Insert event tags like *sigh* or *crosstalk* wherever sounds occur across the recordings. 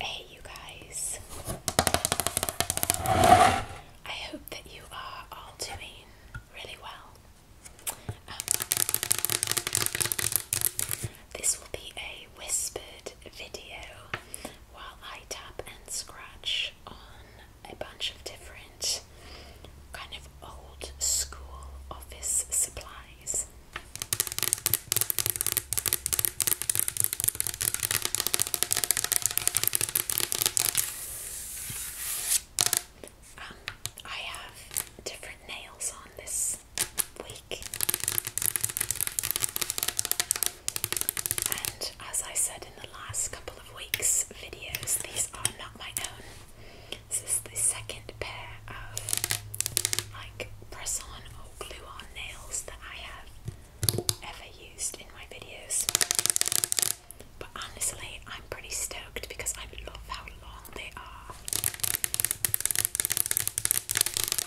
Hey, you guys. I hope that you are all doing really well. Um, this will be a whispered video while I tap and scratch on a bunch of different kind of old school office supplies. Um, I have different nails on this week, and as I said in the last couple of weeks' videos, these are not my own. This is the second pair of like press on or glue on nails that I have ever used in my videos. But honestly, I'm pretty stoked because I love how long they are.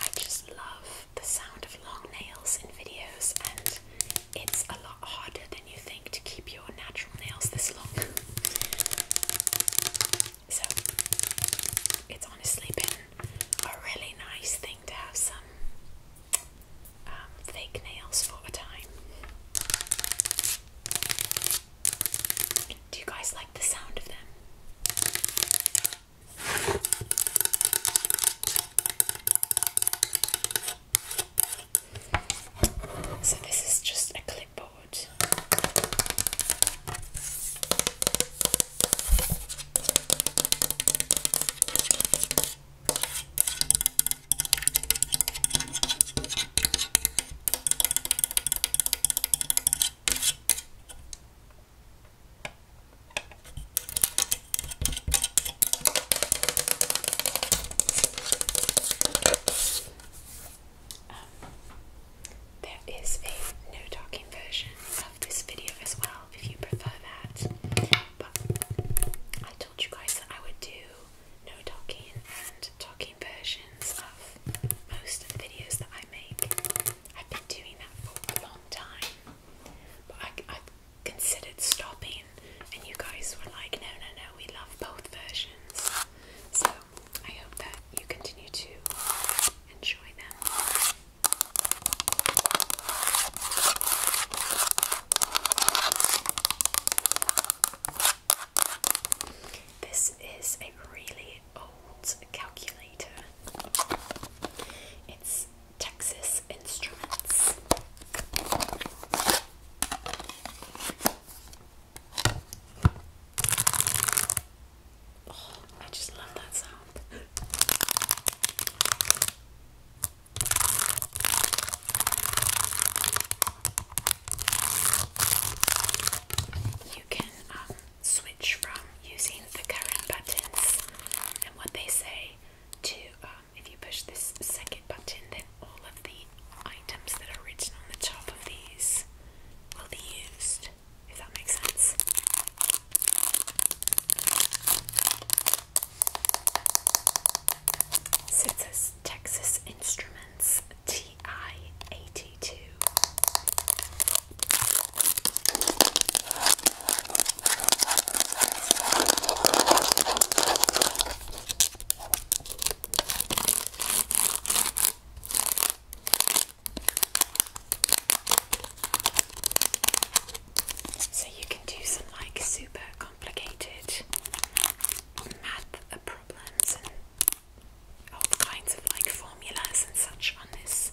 I just love the sound of long nails in videos and it's a lot harder than you think to keep your natural nails this long. So it's honestly been a really nice thing to have some um, fake nails for a time. Do you guys like the sound of them? So this is just a clipboard. Um, there is a no talking version of this video as well if you prefer that. But I told you guys that I would do no talking and talking versions of most of the videos that I make. I've been doing that for a long time, but I considered stopping, and you guys were like, no, no, no, we love both versions. So I hope that you continue to enjoy them. This is a really old calculator. It's Texas Instruments. Oh, I just love that sound. You can um, switch from using the current buttons and what they say to uh, if you push this second button, then all of the items that are written on the top of these will be used, if that makes sense. Texas Instruments TI 82. So you can do some like super complicated math problems and all kinds of like formulas and such on this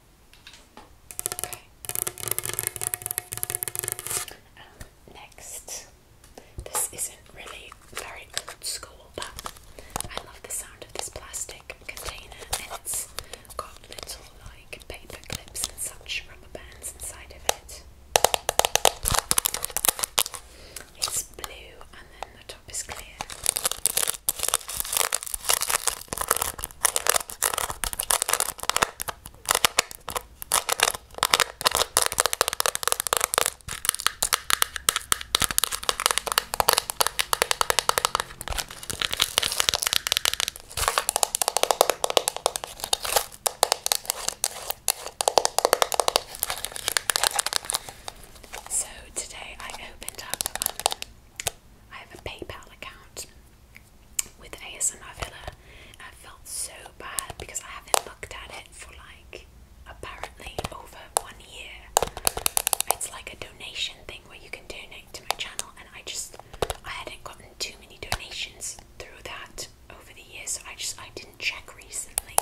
Um, next, this isn't really very old school, but I love the sound of this plastic container, and it's got little like paper clips and such rubber bands inside of it. It's blue, and then the top is clear. So today I opened up um, I have a PayPal account with ASMR Villa. I felt so bad because I haven't looked at it for like apparently over one year. It's like a donation thing where you can donate to my channel, and I just I hadn't gotten too many donations through that over the years, I just I didn't check recently.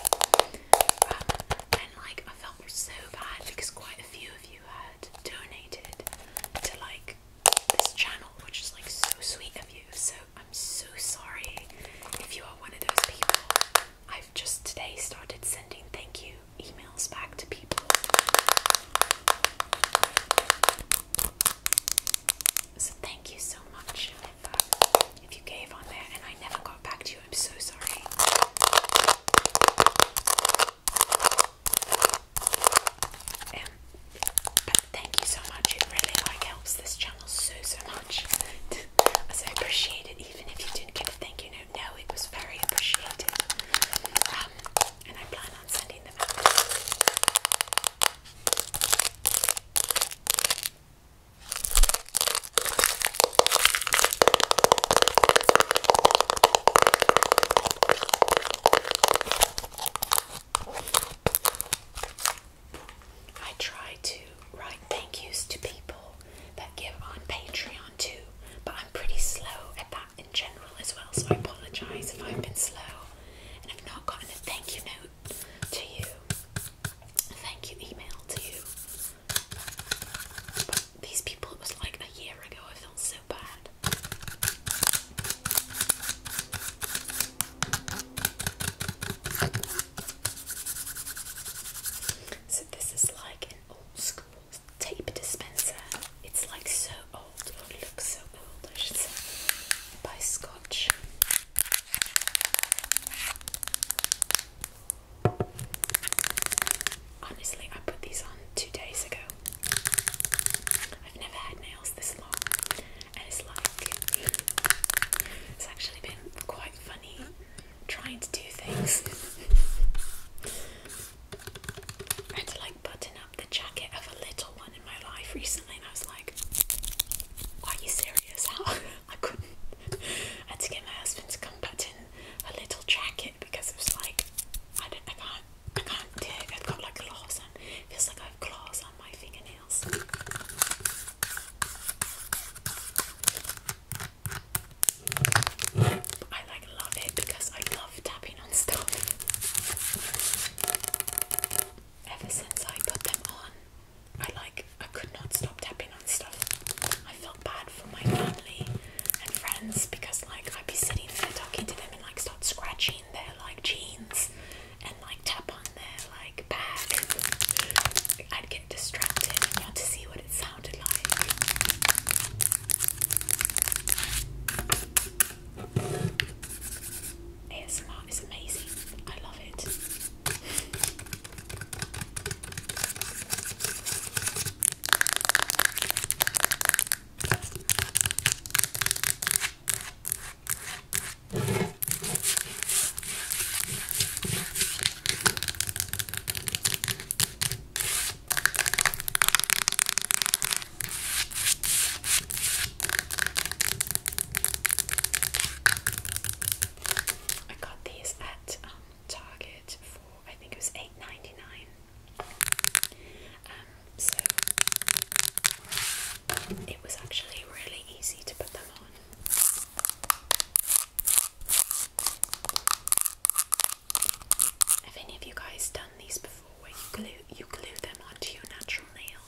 Um, and like I felt so bad because quite a few of you have donated to like this channel, which is like so sweet of you. So I'm so sorry if you are one of those people. I've just today started sending thank you emails back to people. So thank you so much if, if you gave on there and I never got back to you. I'm so sorry. Um, but thank you so much. It really like helps this channel so so much. so *laughs* I appreciate it, even if you didn't get a thank you note. No, it was very appreciated. Um, and I plan on sending them out. I try to write thank yous to people that give on Patreon too, but I'm pretty slow at that in general as well, so I apologize if I've been slow and i have not gotten a thank you note to you, a thank you email to you these people, it was like a year ago, I felt so bad. So, this is like an old school tape dispenser. It's like so old, it looks so old, I should say, by Scotch. Honestly, I put these on two days ago. I've never had nails this long, and it's like it's actually been quite funny trying to do things and *laughs* to like button up the jacket of a little one in my life recently, and I was like, Are you serious? *laughs* How I couldn't. I had to get my husband to come button a little jacket it because it was like I don't I can't I can't dig. I've got like claws on feels like I've claws on my fingernails. But I like love it because I love tapping on stuff. Ever since I put them on, I like I could not stop tapping on stuff. I feel bad for my family and friends because like I'd be sitting there talking to them and like start scratching their like jeans and like tap on their like bag. I'd get distracted want to see what it sounded like. ASMR is amazing. I love it. I got these at um, Target for I think it was eight ninety nine. Um, so it was actually really easy to put them on. Have any of you guys done these before, where you glue you glue them onto your natural nail?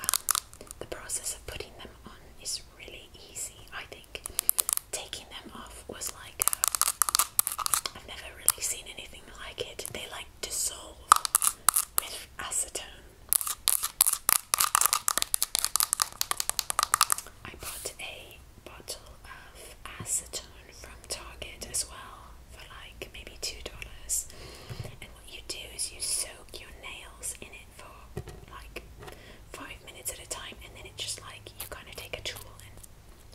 Um, the process of putting them on is really easy. I think taking them off was like uh, I've never really seen anything like it. They like dissolve with acetone. I bought a bottle of acetone from Target as well for like maybe two dollars. And what you do is you soak your nails in it for like five minutes at a time, and then it just like you kind of take a tool and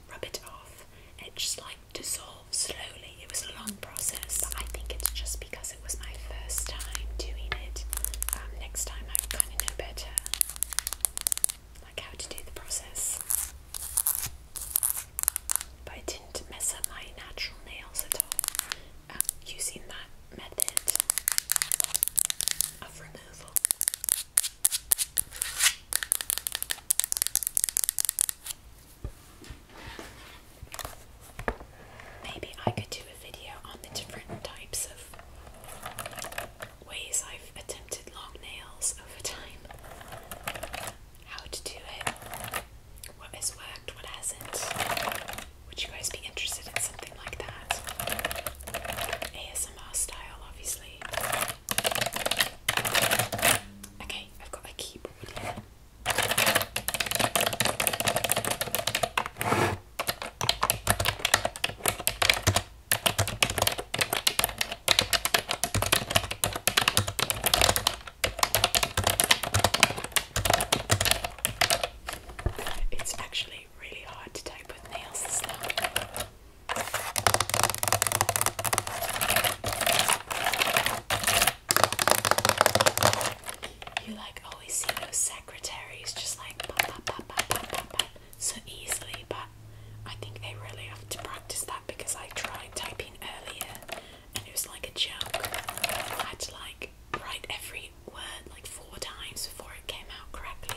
rub it off, it just like dissolves slowly. It was a long process, but I think it's just because it was my first time doing it. Um, next time I kind of know better, like how to do the process. But I didn't mess up my natural nails at all using that method of removal. Maybe I could do a video on the different types of ways I've attempted long nails over time. How to do it, what has worked, what hasn't. Would you guys be interested in something like that? ASMR style, obviously. Okay, I've got my keyboard It's actually really, hard to tape with nails You like always see those secretaries just like so easily, but I think they really have to practice that because I tried typing earlier and it was like a joke. I had like write every word like four times before it came out correctly.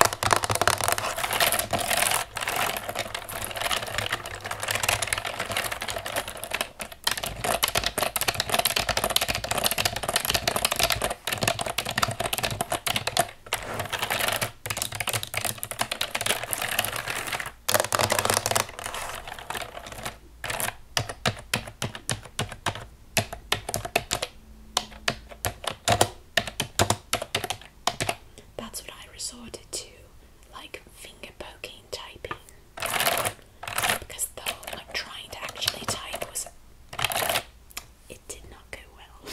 That's what I resorted to, like finger poking typing. Because though like trying to actually type was it did not go well.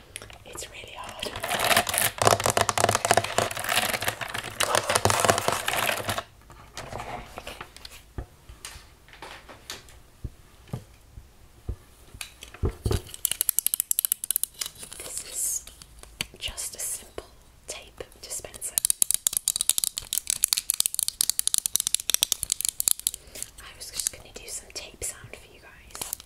It's really hard. This is just a simple tape dispenser. I was just going to do some tape sound for you guys.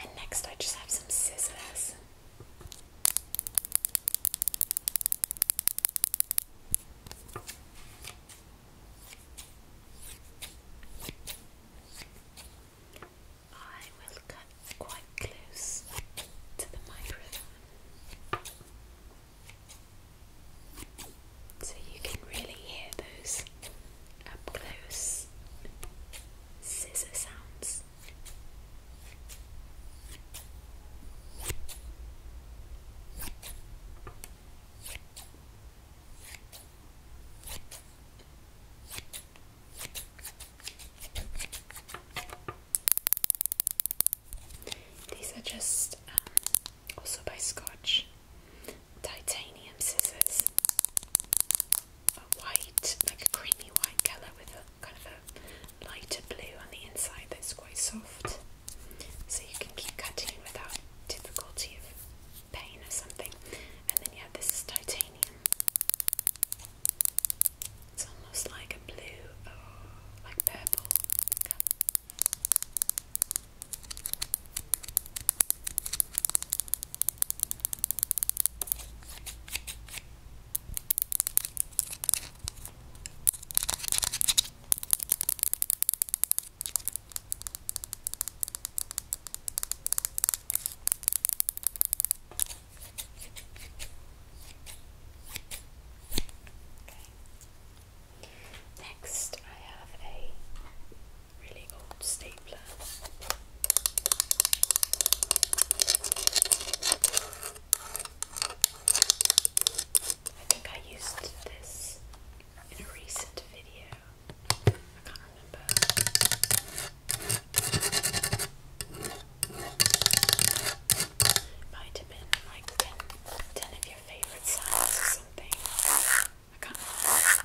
And next, I just have some scissors. I will cut quite close to the microphone so you can really hear those up close scissor sounds. These are just um, also by Scotch titanium scissors a white, like a creamy white colour with a kind of a lighter blue on the inside that's quite soft. So you can keep cutting without difficulty of pain or something. And then you have this titanium. It's almost like a blue or oh, like purple Okay. Next, I have a really old stapler. I think I used this in a recent video. I can't remember. Might have been like 10, of your favourite sounds or something. I can't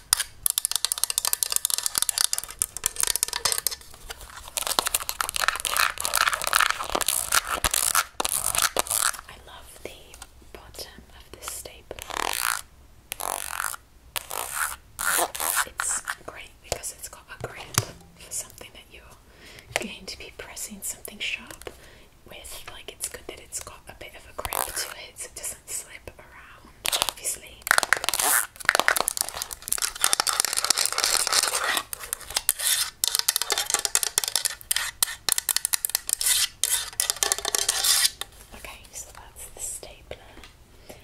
I love the bottom of this staple. It's great because it's got a grip for something that you're going to be pressing something sharp with. Like, it's good that it's got a bit of a grip to it so it doesn't slip around obviously. Okay, so that's the stapler. Uh,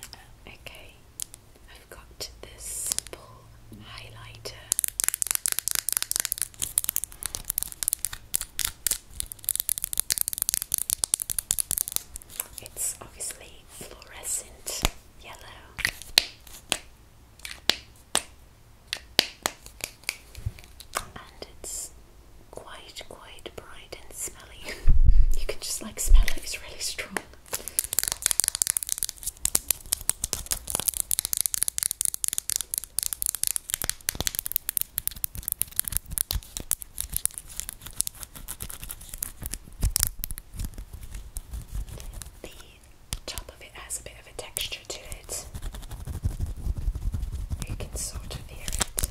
okay, I've got this simple highlighter. It's obviously fluorescent yellow. And it's quite, quite bright and smelly. *laughs* you can just like smell it, it's really strong. The top of it has a bit of a texture to it. You can sort of hear it.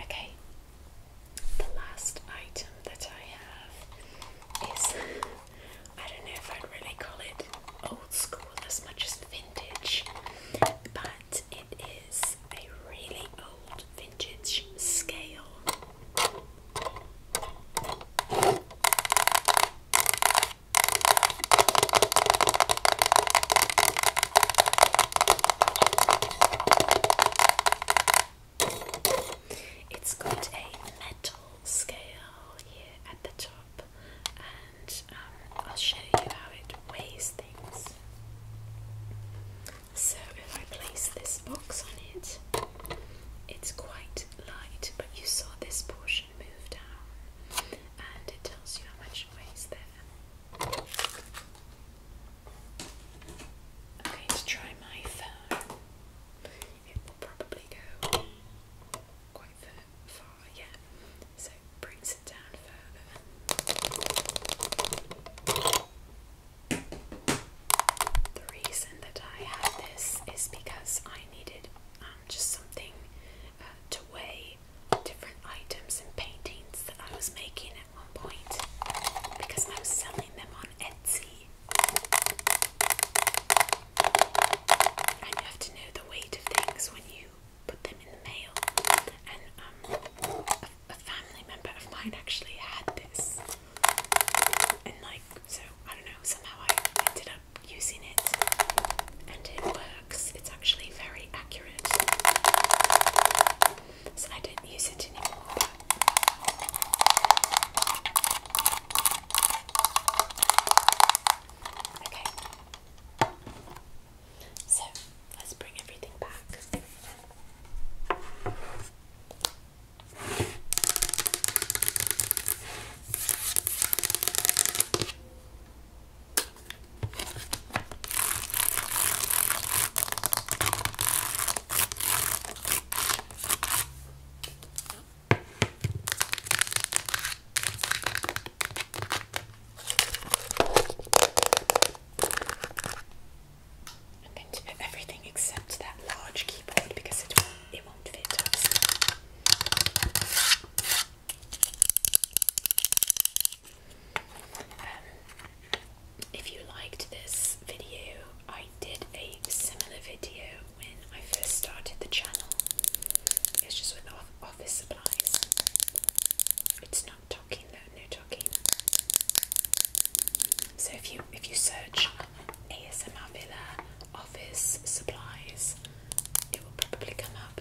Okay, the last item that I have is *laughs* I don't know if I'd really call it old school as much as vintage, but it is a really old vintage scale. It's got a metal scale here at the top, and um, I'll show you how it weighs things. So, if I place this box on it, it's quite light, but you saw this portion move down, and it tells you how much it weighs there. I'm going to try my phone. It will probably go quite far, yeah. So brings it down further. The reason that I had this is because I needed um, just something uh, to weigh different items and paintings that I was making at one point because I was selling them on Etsy. And you have to know the weight of things when you put them in the mail. And um, a, family member of mine actually had this. And like, so I don't know, somehow I ended up using it and it worked. It's actually very accurate. So I don't use it anymore. Okay. So let's bring everything back. I'm going to put everything except that large keyboard because it it won't fit um, if you liked this video, I did a similar video when I first started the channel. It's just with office supplies. It's not talking though, no talking. So if you if you search ASMR Villa office supplies, it will probably come up.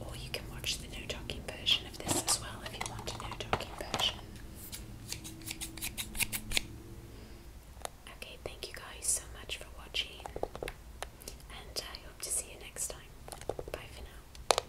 Or you can watch the no talking version of this as well if you want a no talking version. Okay, thank you guys so much for watching, and I hope to see you next time. Bye for now.